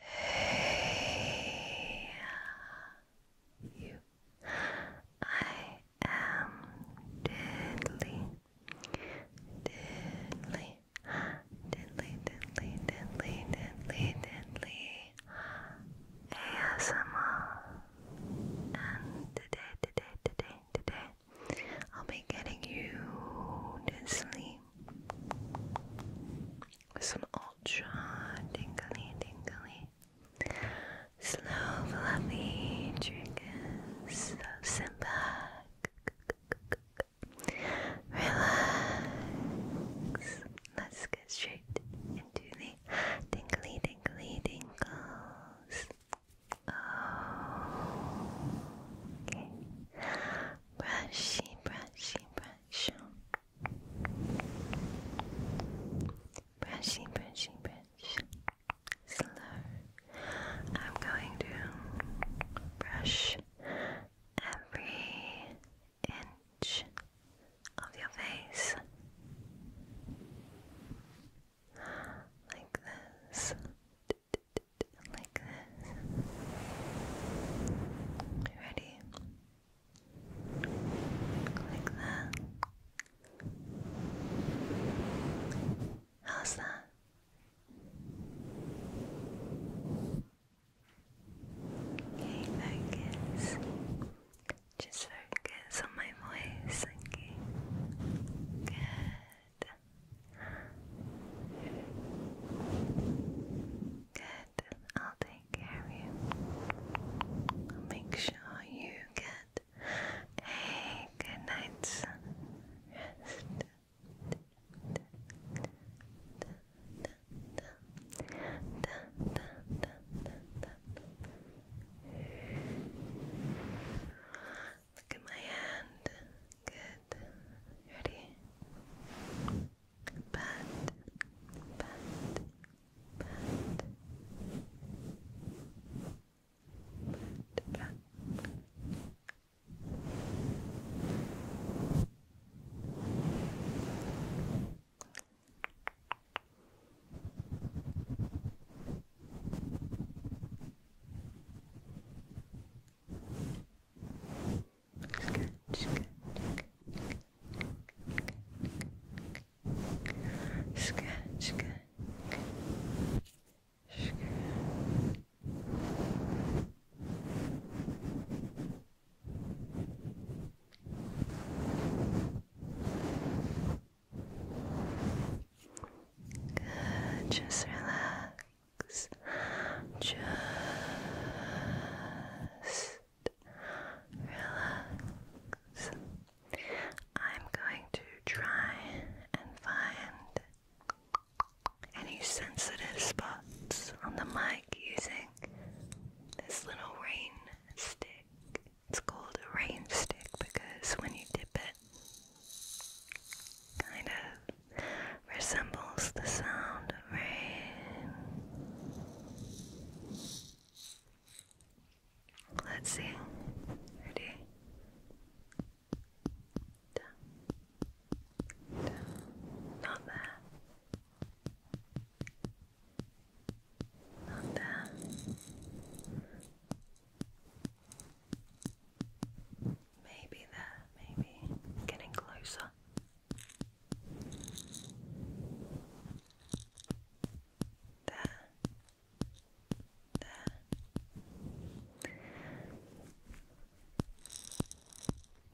Hey, you. I am diddly, diddly, diddly, diddly, diddly, diddly, diddly, ASMR. And today, today, today, today, I'll be getting you to sleep some ultra tingly, tingly, slow, fluffy triggers. So sit relax. Let's get straight into the tingly, tingly, tingles. Oh, Brushy, brushy, brushy brush. Brushy, brush. Slow. I'm going to brush every inch of your face like this like this. Ready? Like that. How's that? Okay, focus. Just focus on my voice, okay? Good. Good. I'll take care of you. make sure you get a good night's rest. Look at my hand. Good. Good. Ready? Pat, pat, pat, pat, pat. Good, good, good. Scratch, good. Scratch. Good, just relax. Just relax. I'm going to try and find any sensitive spots on the mic using this little rain stick. It's called a rain stick because when you dip it, kind of resembles the sound of rain. Let's see. Ready? Down. Down. Not there. Not there. Maybe there, maybe getting closer. There, there.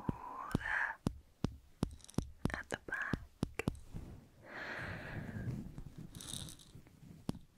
Oh, there. At the back.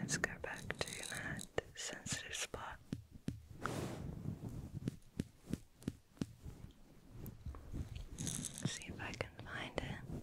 Let's go back to that sensitive spot. see if I can find it.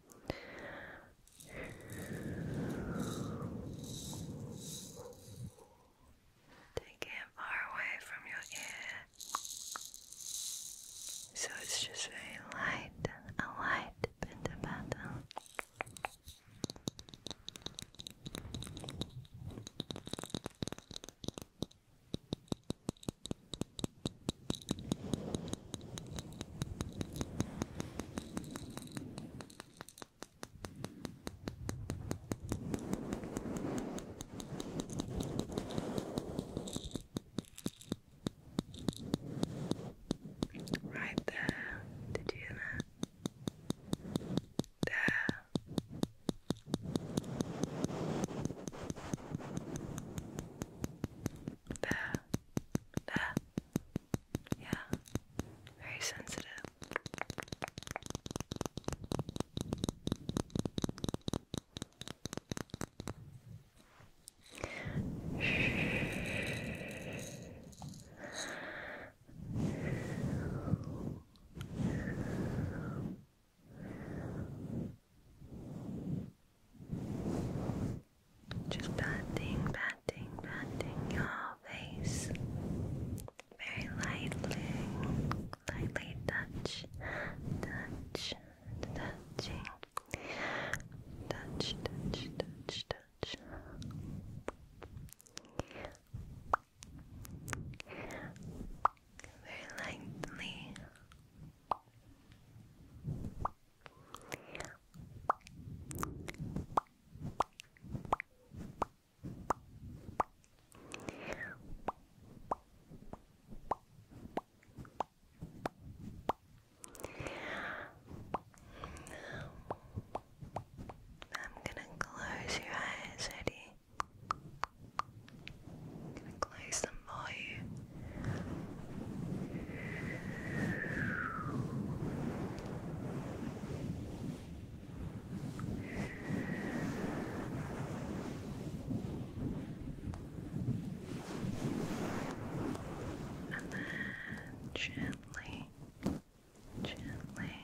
Take it far away from your ear so it's just very light, a light pitter patter. Right there. Did you hear that? There. There. There. Yeah. Very sensitive. Just patting, patting, patting your face. Very lightly, lightly touch, touch, touching, touch, touch, touch, touch. Very lightly, I'm gonna close your eyes, Eddie close them for And then gently, gently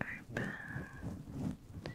open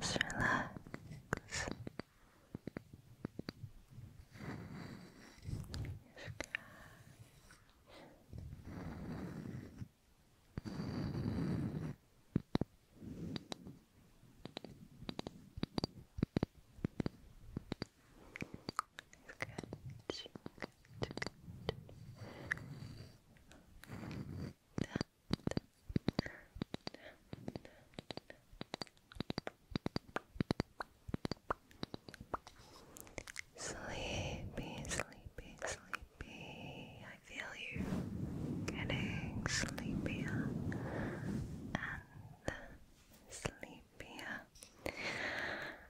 Just relax. You've got you Sleepy, sleepy, sleepy. I feel you getting sleepier and sleepier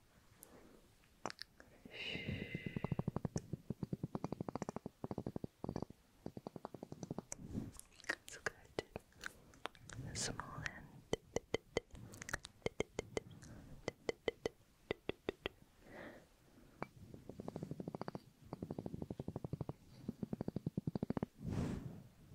That's good. The small end. Good.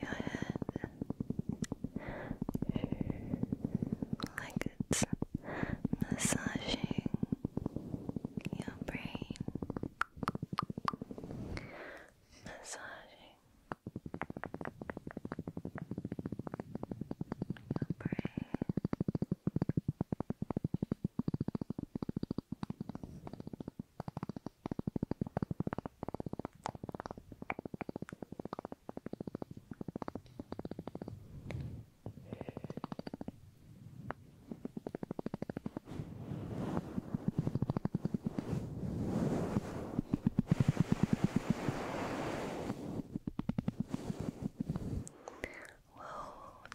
your head like it's massaging your brain, massaging your brain. Whoa,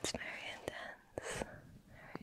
it's very intense. Very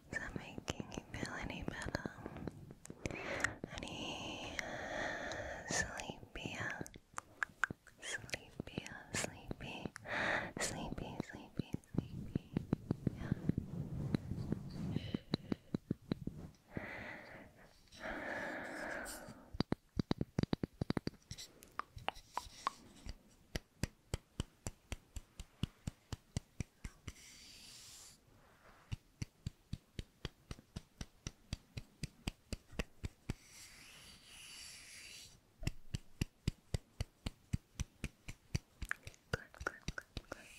Is that making you feel any better? Any uh, Sleepy, sleepy, sleepy, sleepy, sleepy. Yeah. Good. Good, good, perfect. Perfect.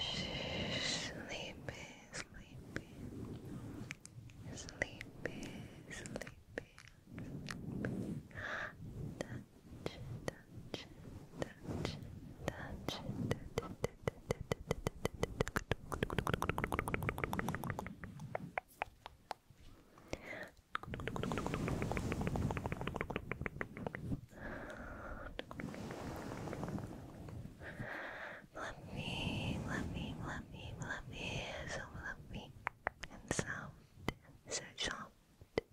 Sleepy, sleepy, sleepy, sleepy. Touch, touch, touch, touch. Let me, let me, let me, let me, so let me, and sound, so soft,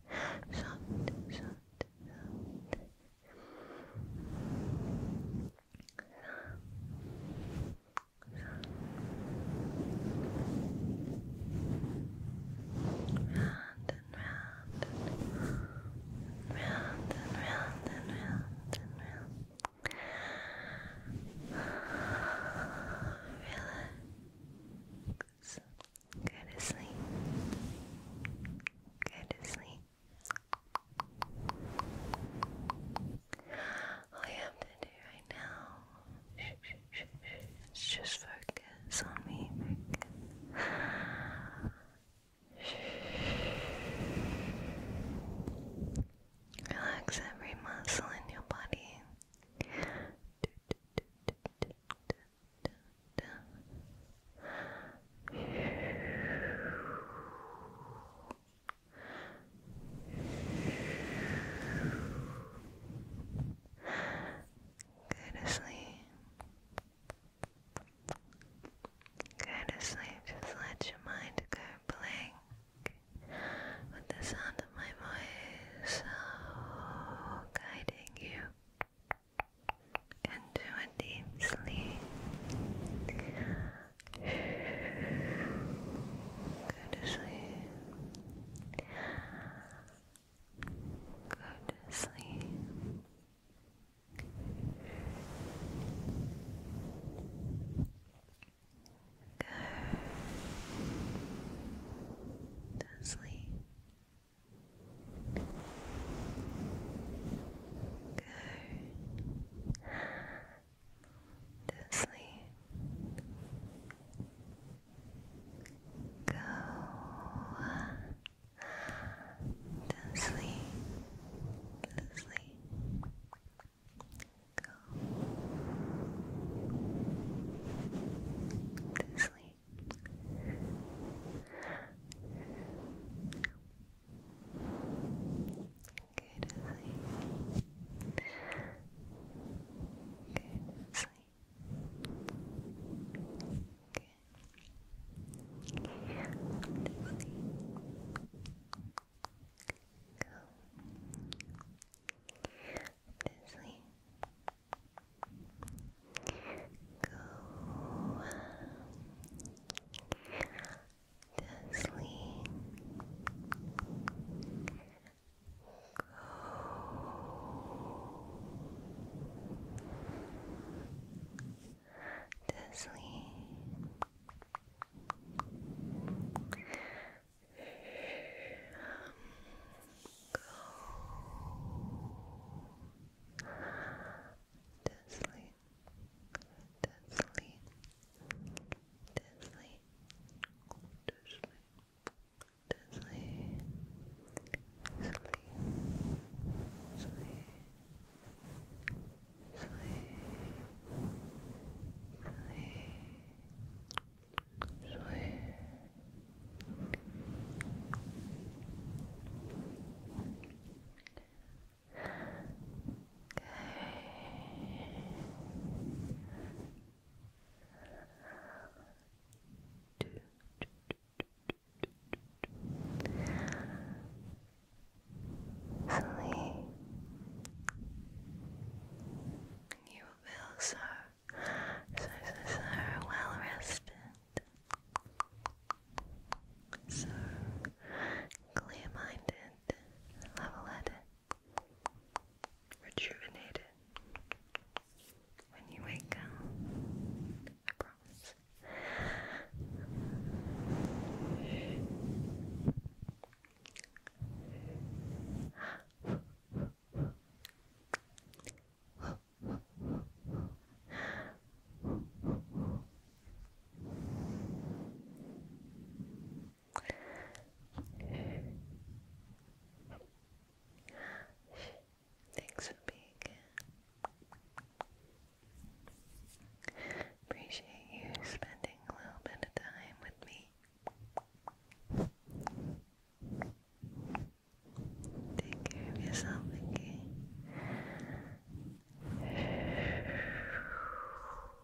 soft, soft, soft, soft, and and round and round and round and round. Relax. Go to sleep. Go to sleep. All you have to do right now just focus on me. Relax every muscle in your body. Go to sleep. Go to sleep. Just let your mind go blank with the sound of my voice oh, guiding you into a deep sleep. Go to sleep. Good sleep. Good sleep. Good to sleep go to sleep, to sleep, go to sleep. Good sleep. Good sleep. Good. Let's see. Go. To sleep. Go to sleep. Go to sleep. Go to sleep. To To sleep to sleep, sleep, sleep, sleep, sleep, sleep. Okay. Sleep. You will feel so, so, so well rested, so clear minded, level headed rejuvenated when you wake up. I promise. Thanks for being here. Appreciate you spending a little bit of time with me. Take care of yourself, okay?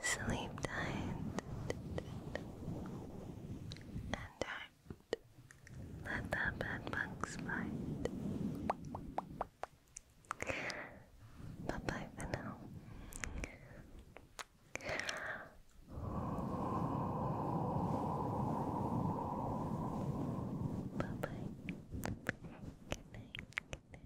Sleep tight and do let the bad bite. Bye bye for now. Bye bye. Good night. Good night.